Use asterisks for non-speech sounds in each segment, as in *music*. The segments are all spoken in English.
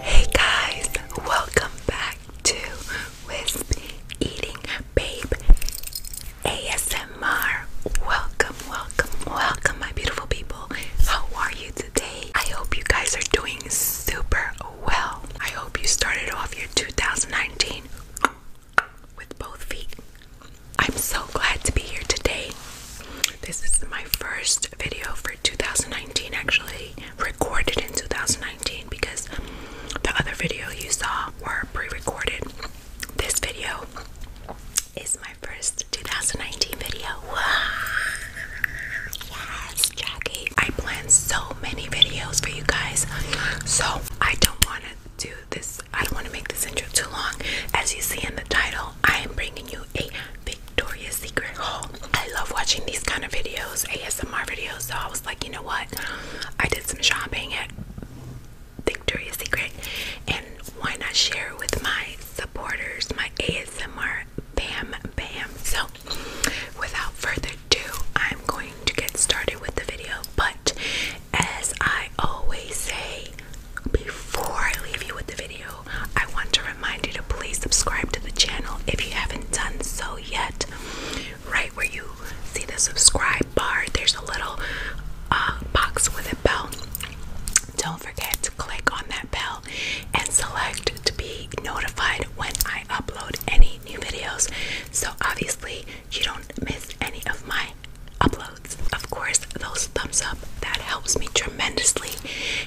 Hey guys, welcome back to Wisp Eating Babe ASMR. Welcome, welcome, welcome, my beautiful people. How are you today? I hope you guys are doing super well. I hope you started off your 2019 with both feet. I'm so glad to be here today. This is my first video for 2019, actually recorded in 2019 because the other video you saw were pre-recorded. This video is my first 2019 video. *laughs* Yes, Jackie. I planned so many videos for you guys, so I don't want to to this. I don't want to make this intro too long. As you see in the title, I am bringing you a Victoria's Secret haul. I love watching these kind of videos, ASMR videos. So I was like, you know what? I did some shopping at Victoria's Secret, and why not share with my supporters, my ASMR bam bam? So, without further ado, I'm going to get started with the video, but as I always say, before I leave you with the video, I want to remind you to please subscribe to the channel if you haven't done so yet. Right where you see the subscribe bar, there's a little uh, box with a bell. Don't forget to click on that bell and select to be notified when I upload any new videos. So, obviously, you don't miss any of my uploads. Of course, those thumbs up, that helps me tremendously.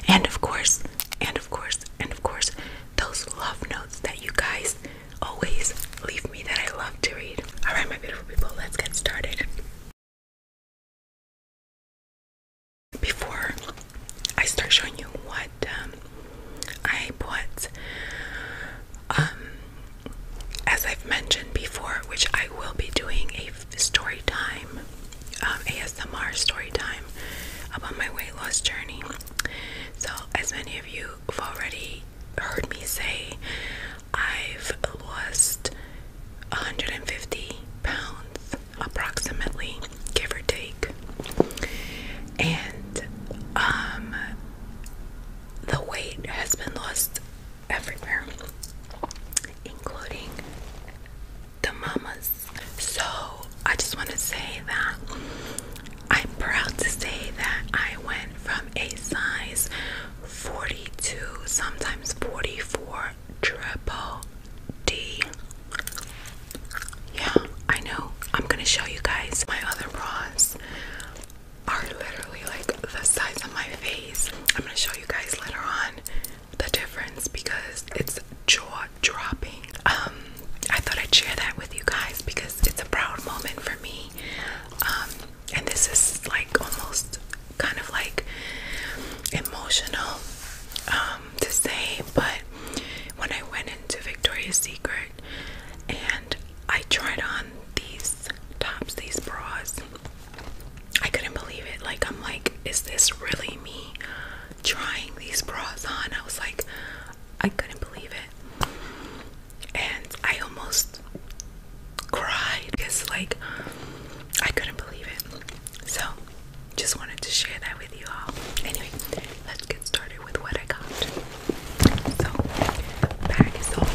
And of course, and of course, and of course, those love notes that you guys always leave me that I love to read. All right, my beautiful people, let's get started. Before I start showing you what um, I put, um, as I've mentioned before, which I will be doing a story time, um, ASMR story time about my weight loss journey. So, as many of you have already heard me say, I've lost 150 pounds approximately, give or take. And um, the weight has been lost everywhere, including the mamas. So I just want to say that I'm proud to say that I went from a size 42, sometimes 44, triple D yeah, I know. I'm gonna show you guys. My other bras are literally like the size of my face. I'm gonna show you guys later on the difference because it's jaw dropping. Um, I thought I'd share that with you guys because it's a proud moment for me. Um, and this is like almost kind of like emotional um, to say, but when I went into Victoria's Secret and I tried on these tops, these bras. I couldn't believe it. Like, I'm like, is this really me trying these bras on? I was like, I couldn't believe it. And I almost cried because, like, I couldn't believe it. So, just wanted to share that with you all. Anyway, let's get started with what I got. So, bag is all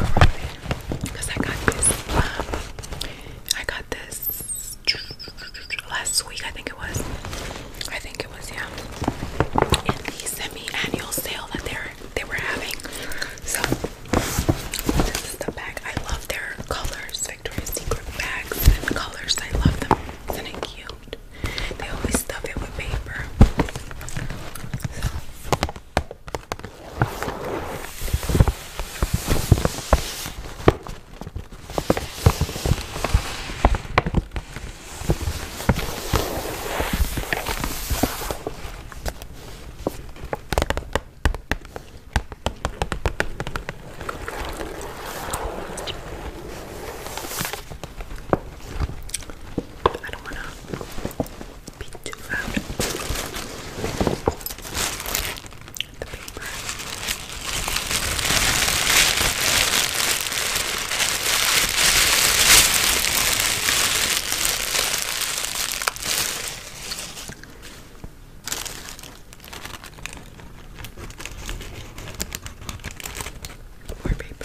because I got this. Um, I got this last week, I think it was. I think it was, yeah. In the semi-annual sale that they're they were having. So this is the bag. I love their colors, Victoria's Secret bags and colors. I love them. Isn't they always stuff it with paper. I don't want to be too loud. The paper more paper.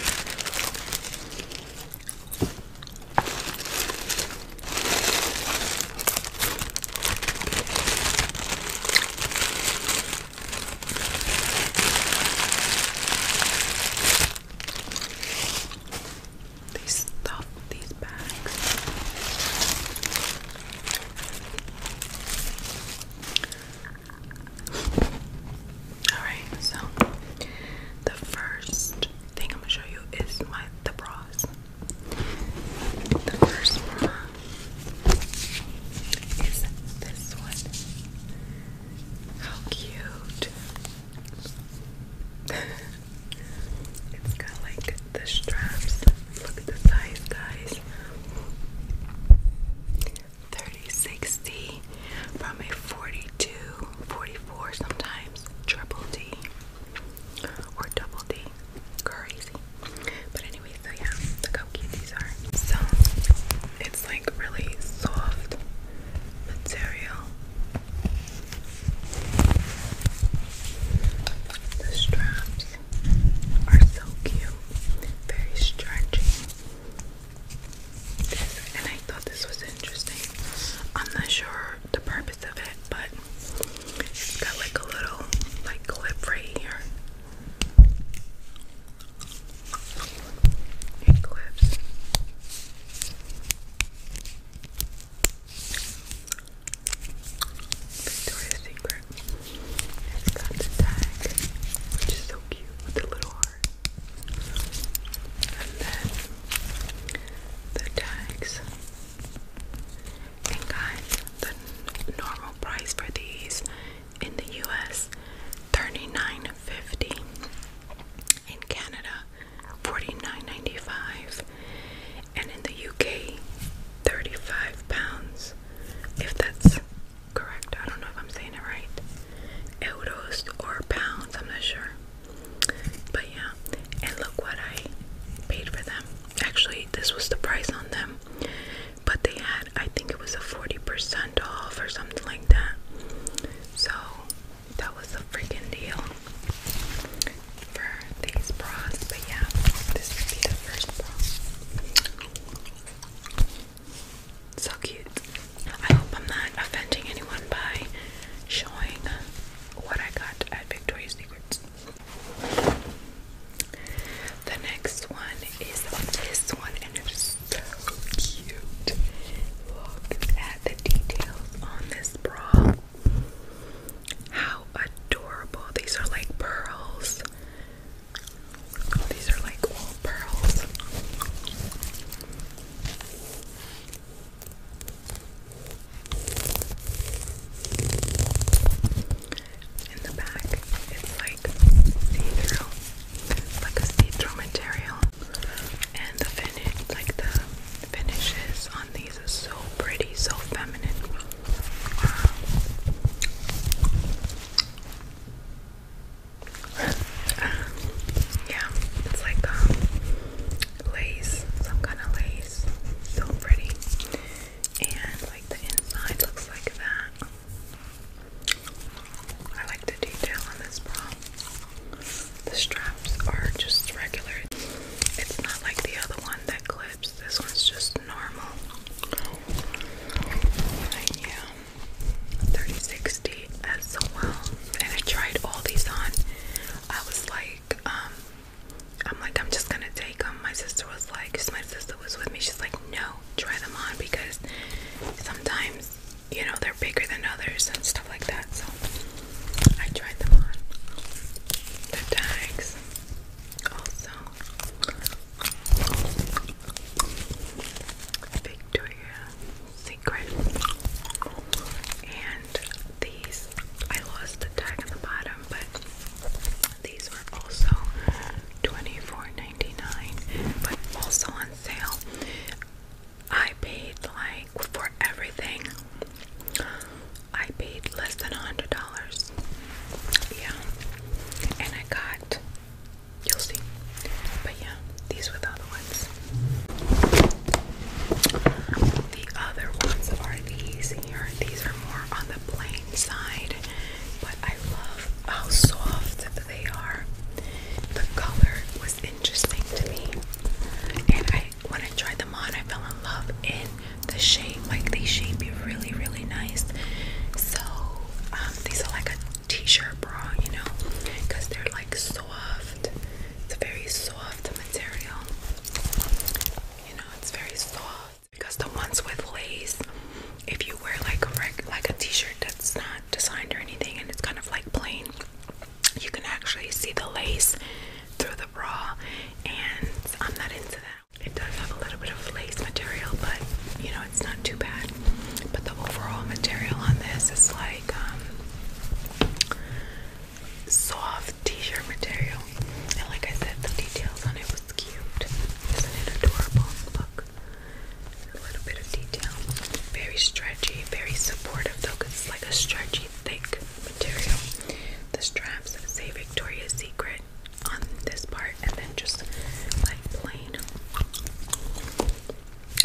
They stuff these bags. Alright, so the first thing I'm gonna show you is my the bras. The first bra is this one. How cute. *laughs* it's got like the straps. Look at the size, guys. 3060 from a 42, 44 sometimes triple D or double D. Crazy. But anyway, so yeah, look how cute these are. So it's like really soft material. The straps are so cute, very stretchy and I thought this was interesting. I'm not sure the purpose of it, but it's got like a little like clip right here. clips. Victoria's Secret. It's got the tag, which is so cute with the little heart. And then the tags. And guys, the normal price for these in the US, thirty-nine fifty. In Canada, forty-nine ninety-five, And in the UK, 35 pounds. If that's correct. I don't know if I'm saying it right. Euros or pounds, I'm not sure. But yeah, and look what I paid for them. Actually, this was the price on them. But they had, I think it was a 40% off or something like that. So that was a freaking deal for these bras. But yeah, this would the first bra. So cute. I hope I'm not offending anyone by showing what I got at Victoria's Secret. The next one is this one, and it is so cute. Look at the details on this bra. How adorable! These are like pearls. These are like pearls. In the back, it's like see-through, like a see-through material, and the finish, like the finishes on these is so pretty, so feminine. Um, yeah, it's like um, lace, some kind of lace. So pretty. And like the inside looks like that. I like the detail on this bra. The straps are just regular. It's not like the other one that clips. This one's just normal. yeah, 3060 as well. And I tried all these on. I was like, um, I'm like, I'm just gonna take them. My sister was like, because my sister was with me, she's like, no, try them on because sometimes, you know, they're bigger than others and stuff like that. So I tried them on. The tags. Also, Victoria's Secret. And these, I lost the tag at the bottom, but these were also 24 but also on sale. I paid like for everything. I paid less than a hundred dollars. Yeah, and I got You'll see. But yeah, these were the other ones. The other ones are these here. These are more on the plain side, but I love how soft they are. The color was interesting to me, and I when I tried them on, I fell in love in the shape. Like they shape you really, really nice. So um, these are like a t-shirt bra, you know, because they're like soft. It's a very soft material. You know, it's very soft because the ones with lace, if you wear like a like a t-shirt that's not designed or anything, and it's kind of like plain, you can actually see the lace through the bra, and I'm not into that. It does have a little bit of lace material, but you know, it's not too bad. But the overall material on this is like um, soft t shirt material. And like I said, the details on it was cute. Isn't it adorable? Look. A little bit of detail. Very stretchy, very supportive though, because it's like a stretchy, thick material. The straps say Victoria's Secret on this part and then just like plain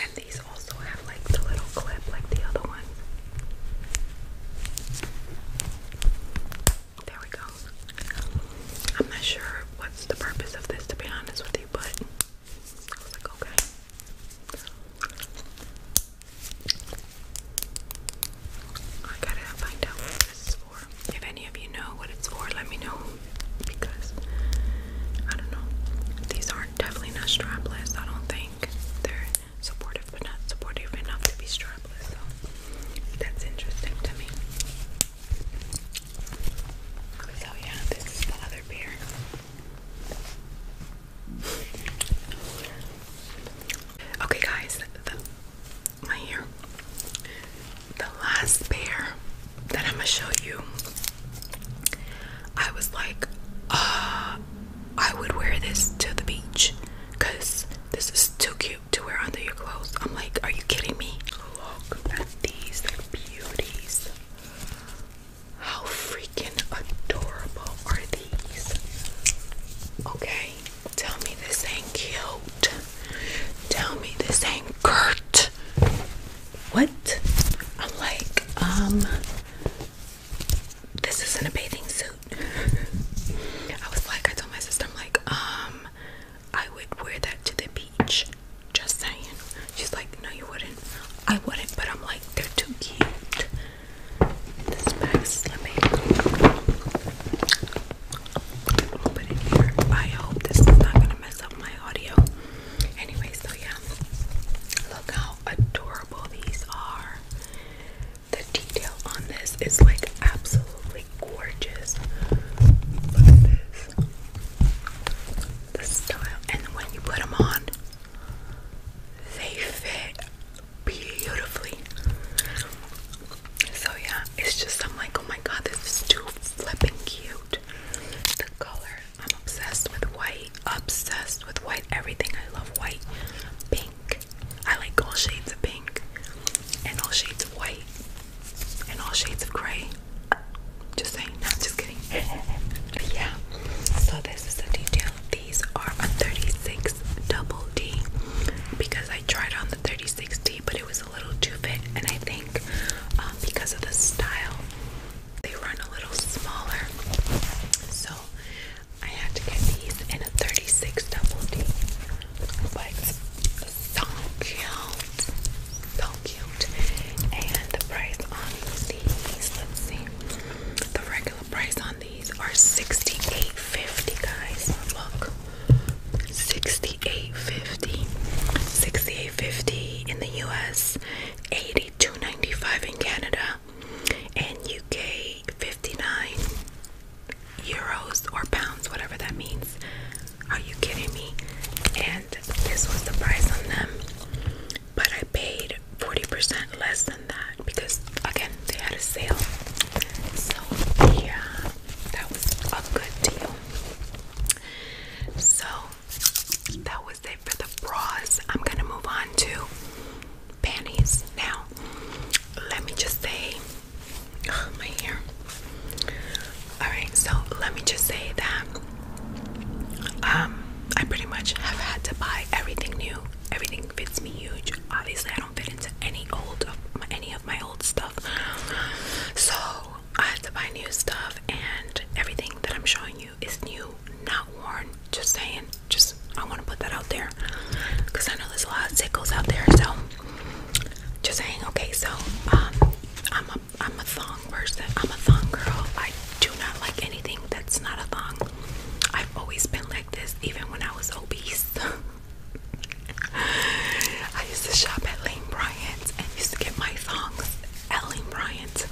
and these also have like the little clip like the other one there we go I'm not sure what's the purpose of this to be honest with you but I was like okay I gotta find out what this is if any of you know what it's for, let me know because I don't know. These are definitely not strapless. I don't think they're supportive, but not supportive enough to be strapless. So that's interesting to me. So yeah, this is the other pair. Okay, guys, my hair. The last pair that I'm gonna show you, I was like, uh, I would wear this to the beach because this is too cute to wear under your clothes. I'm like, are you kidding me? Look at these beauties. How freaking adorable are these? Okay, Tell me this ain't cute. Tell me this ain't cute. What? I'm like, um, this isn't a bathing suit. I was like, I told my sister, I'm like, um, I would wear that to the beach. Just saying. She's like, no, you wouldn't. I wouldn't, but I'm like, they're too cute. This bag's is put it here. I hope this is not gonna mess up my audio. Anyway, so yeah. Look how adorable these are. The detail on this is like absolutely gorgeous. Look at this. The style. And when you put them on, they fit beautifully. So yeah, it's just I'm like, oh my god, this is too flipping cute. The color, I'm obsessed with white, obsessed with white, everything. I love white, pink. I like all shades of pink and all shades of white and all shades of gray. Just saying, no, just kidding. *laughs* yeah. So this is the detail. These are a 36 double D because I I tried on the 3060, but it was a little too big, and I think um, because of the style, they run a little smaller. So I had to get these in a 36 double D. But so cute, so cute. And the price on these, let's see, the regular price on these are 68.50, guys. Look. $68.50. in the US, $82.95 in Canada, and UK 59 euros or pounds, whatever that means. Are you kidding me? And this was the price on them, but I paid 40% less than that because again they had a sale. So yeah, that was a good deal. So that was it for the bras. I'm gonna move on to panties now. Let me just say, my hair. Alright, so let me just say that um, I pretty much have had to buy everything new. Everything fits me huge. Obviously, I don't don't fit into any old any of my old stuff. So I have to buy new stuff, and everything that I'm showing you is new, not worn. Just saying, just I want to put that out there because I know there's a lot of sickles out there. So just saying, okay. So um, I'm a I'm a thong person. I'm a thong girl. I do not like anything that's not a thong. I've always been like this, even when I was obese. *laughs* I used to shop at Lane Bryant and used to get my thongs at Lane Bryant.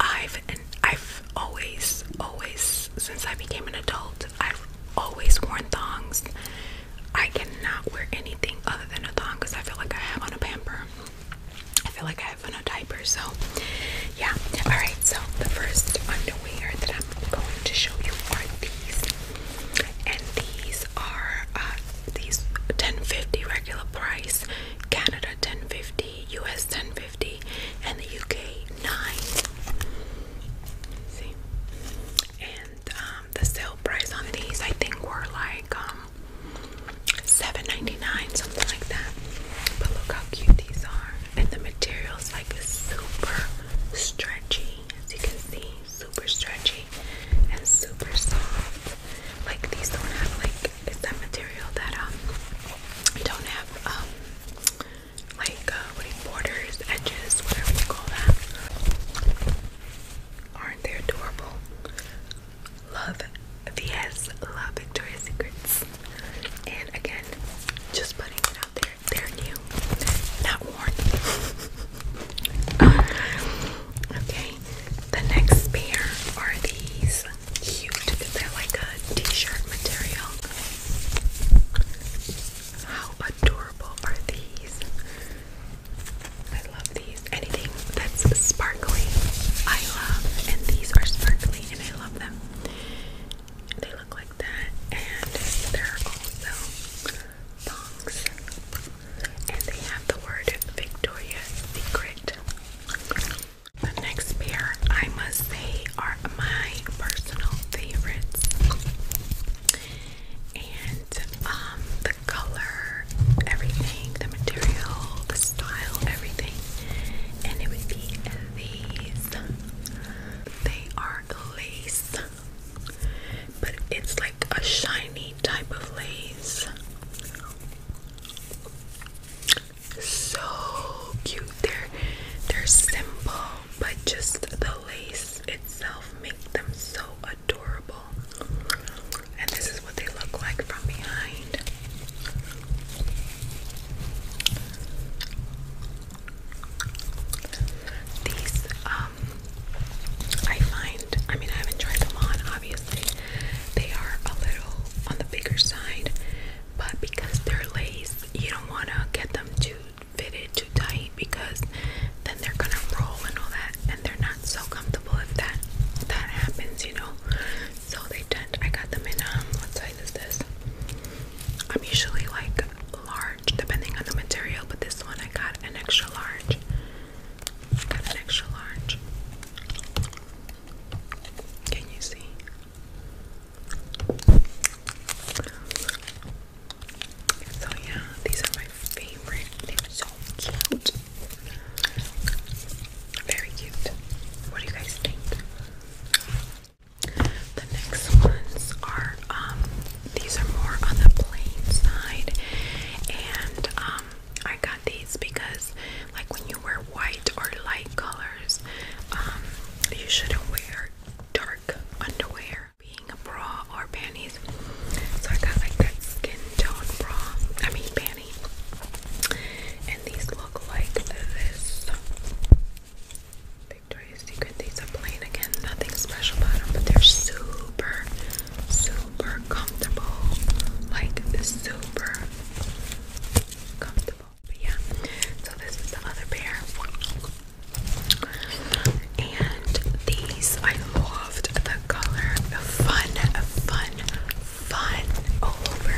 I've I've always, always since I became an adult, I've always worn thongs. I cannot wear anything other than a thong because I feel like I have on a pamper. I feel like I have on a diaper, so yeah. Alright, so the first underwear that I'm I'm going to show you are these, and these are uh, these 10.50 regular price, Canada 10.50, US 10.50, and the UK 9. See, and um, the sale price on these I think were like um, 7.99, something like that. But look how cute these are, and the material is like super stretchy, as you can see, super stretchy and super soft. Like these don't have like it's that material that um don't have um like uh, what do you, borders, edges, whatever you call that. Aren't they adorable? Love VS, love Victoria's Secrets. And again, just putting it out there. They're, new, not worn. *laughs* okay, the next pair are these cute. They're like a t-shirt material. How adorable are these? I love these. Anything that's sparkly, I love. And these are sparkly, and I love them. They look like that, and they're also thongs. And they have the word Victoria's Secret. The next pair, I must say, are my personal favorites. And um, the color, everything, the material, the style, everything. And it would be these. They are more lace, but it's like a shiny type of lace. So cute. They're they're simple, but just the lace itself makes them so adorable. And this is what they look like from behind. These, um, I find, I mean, I haven't tried them on, obviously. They are a little on the bigger side, but because they're lace, you don't want to get them too fitted, too tight, because then they're going to roll and all that, and they're not so comfortable if that that happens, you know. So they tend, I got them in, um, what size is this? I'm usually like large depending on the material, but this one I got an extra large. got an extra large. Can you see? So yeah, these are my favorite. They're so cute. Very cute. What do you guys think? The next ones are um, these are more on the plain side and um, I got these because like when you wear white or light colors um, you shouldn't wear dark underwear being a bra or panties. So I got like that skin tone bra. I mean panty. And these look like this. Victoria's Secret. These are plain again, nothing special about them, but they're super, super comfortable. Like super comfortable. But yeah, so this is the other pair. And these, I loved the color. Fun, fun, fun all over.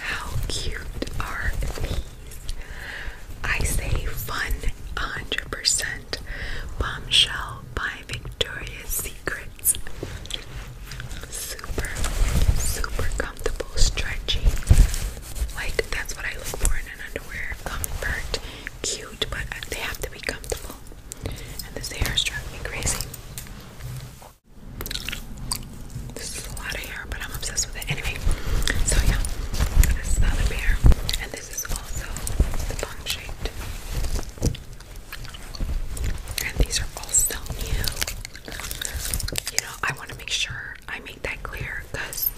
How cute are these? I say fun 100% bombshell by Victoria's Secrets. Super, super comfortable, stretchy. Like, that's what I look for in an underwear. Comfort, cute, but they have to be comfortable. And this hair struck me crazy. This is a lot of hair, but I'm obsessed with it. Anyway, so yeah, this is the pair, and this is also the bong shaped. And these are all still new. You know, I want to make sure I make that clear because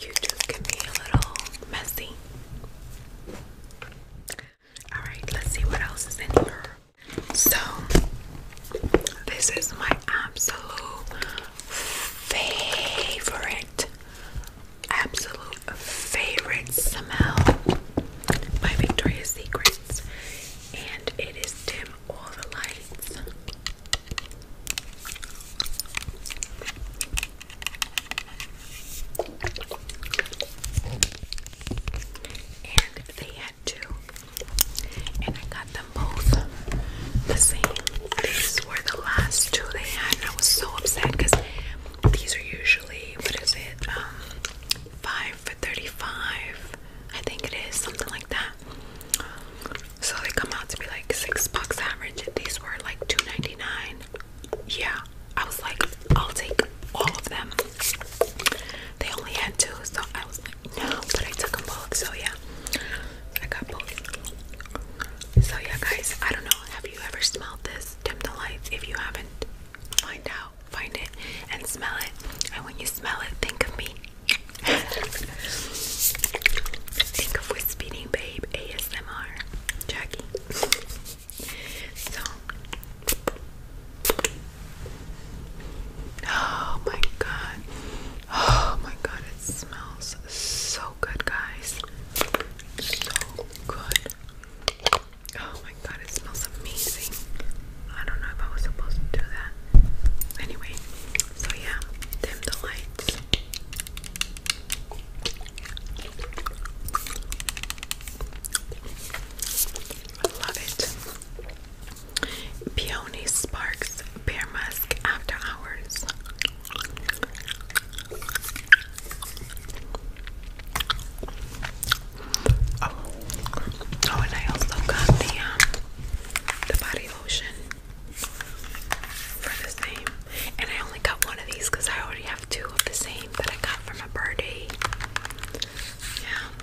you YouTube can be a little messy. Alright, let's see what else is in here. So, this is my absolute favorite, absolute favorite smell by Victoria's Secrets, and it is dim all the lights two, and I got them both the same. These were the last two they had, I was so upset because these are usually what is it, um, five for thirty-five, I think it is something like that. So they come out to be like six bucks average. These were like two ninety-nine. Yeah, I was like, I'll take all of them. They only had two, so I was like, no, but I took them both, so yeah. I got both. So yeah, guys, I don't know. Have you ever smelled this? Dim the lights. If you haven't, find out, find it, and smell it. And when you smell it, think of me. *laughs* think of Whispering Babe ASMR, Jackie. so. Oh my god. Oh my god, it smells so good, guys. So good. Oh my god, it smells amazing. I don't know if I was supposed to do that. Anyway, so yeah, dim the lights. love it. Peony Sparks Bear Musk After Hours. Oh, oh and I also got the um, the body lotion for the same. And I only got one of these because I already have two of the same that I got from a birdie. Yeah.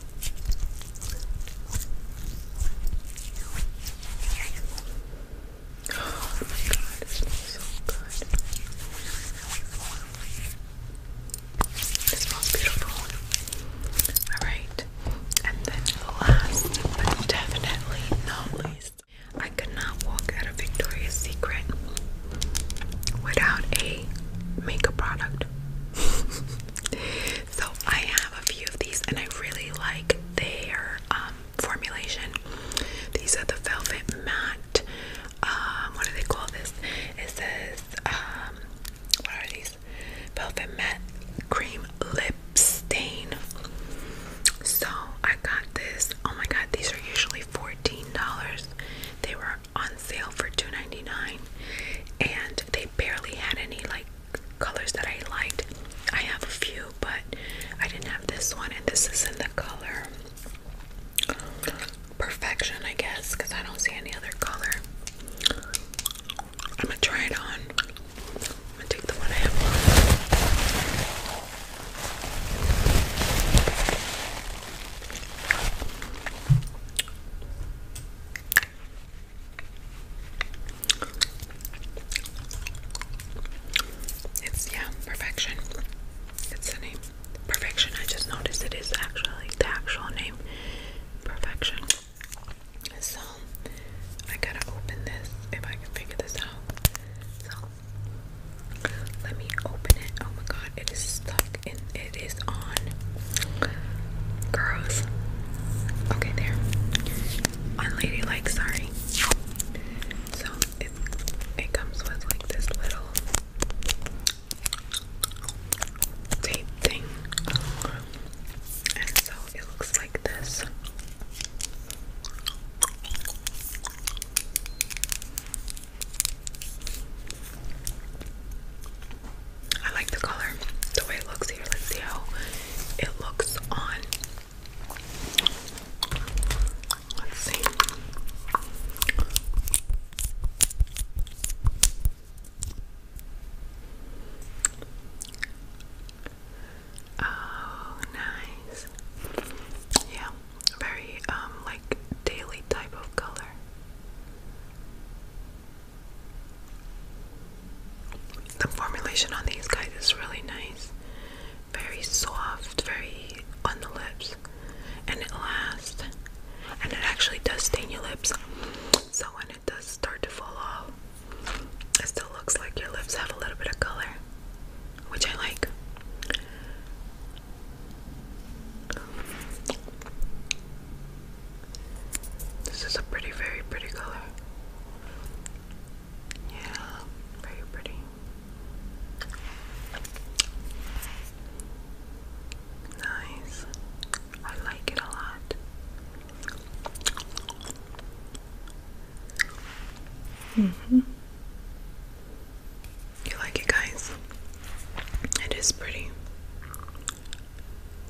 Oh my god, it smells so good. It smells beautiful. Alright, and then last but definitely not least, I could not walk out of Victoria's Secret without a makeup product. *laughs* So I have a few of these and I really like their um, formulation. These are the velvet matte. Um, what do they call this? It says, um, what are these? Velvet matte cream lip stain. So I got this. Oh my god, these are usually $14. They were on sale for $2.99 and they barely had any like colors that I liked. I have a few, but I didn't have this one, and this is in the color Perfection, I guess, because I don't see any other color. I'm gonna try it on. I'm gonna take the one I have it's, yeah, perfection. It's the name. Perfection, I just noticed it is actually the actual name. Perfection. So, I gotta open this if I can figure this out. So, let me open it. Oh my god, it is stuck in it it is on girls. Okay, there. On Ladylike, sorry. So it it comes with like this little tape thing. And so it looks like this. I like the color, the way it looks here. Let's see how it looks on. Let's see. Oh, nice. Yeah, very um like daily type of color. The formulation on these guys is really nice, very soft, very on the lips, and it lasts. And it actually does stain your lips, so when it does start to fall off, it still looks like your lips have a little bit of color, which I like. This is a pretty, very pretty color. Yeah, very pretty. Nice. I like it a lot. hmm You like it, guys? It is pretty.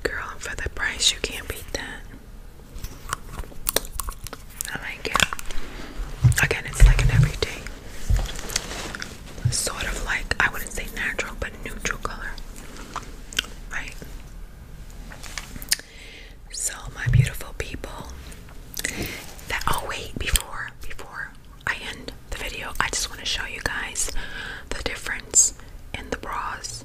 Girl, and for the price, you can't beat that. I like it. Again, it's like an everyday. Sort of like, I wouldn't say natural, but neutral color. Right? So, my beautiful people. oh, wait, before, before I end, the video, I just want to show you guys the difference in the bras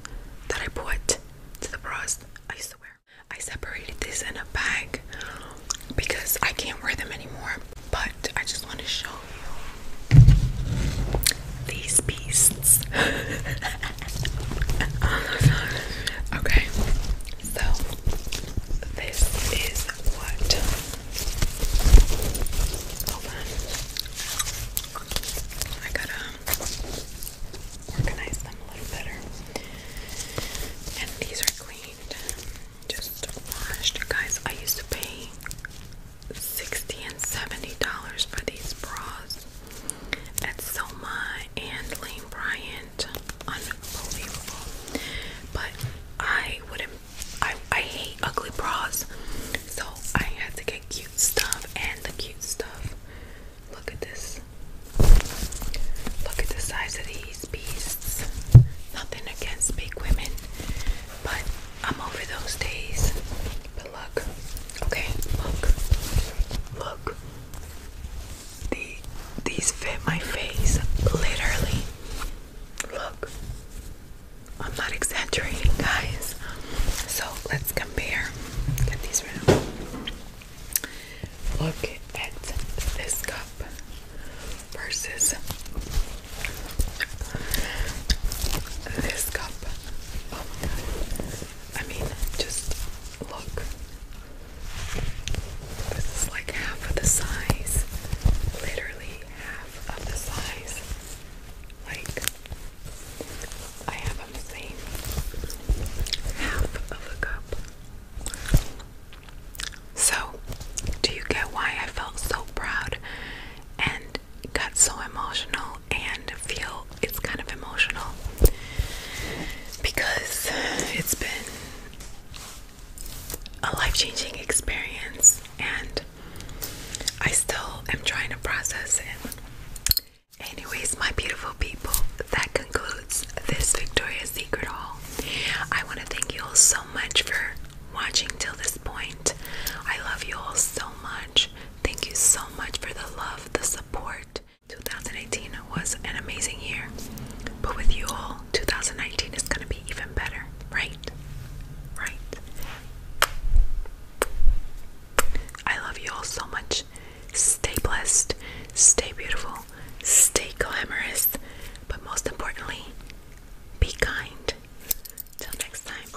that I put to the bras I used to wear. I separated these in a bag because I can't wear them anymore, but I just want to show you these beasts. *laughs* okay, so this is what. Hold I gotta organize them a little better. And these are cleaned, just washed. Guys, I used to pay 60 and 70 dollars for these bras at Soma and Lane Bryant. Unbelievable. But I wouldn't I, I hate ugly bras, so I had to get cute stuff and the cute stuff. Look at this. Look at the size of these beasts. Nothing against big women, but I'm over those days. But look, okay, look, look. The these fit my face literally. Look. I'm not exaggerating, guys. So let's compare. Get these right Look at this cup versus this cup. Oh my god. I mean, just look. This is like half of the size. Literally half of the size. Like, I have them same half of a cup. So, do you get why I felt so proud and got so emotional and feel it's kind of emotional? Because it's been a life changing experience and I still am trying to process it. Anyways, my beautiful people, that concludes this Victoria's Secret haul. I want to thank you all so much for watching till this point. I love you all so much. Thank you so much for the love, the support. 2018 was an amazing year, but with you all, 2019 is going to be even better, right? Right. I love you all so much. Stay blessed. Stay beautiful. Stay glamorous. But most importantly, be kind. Till next time.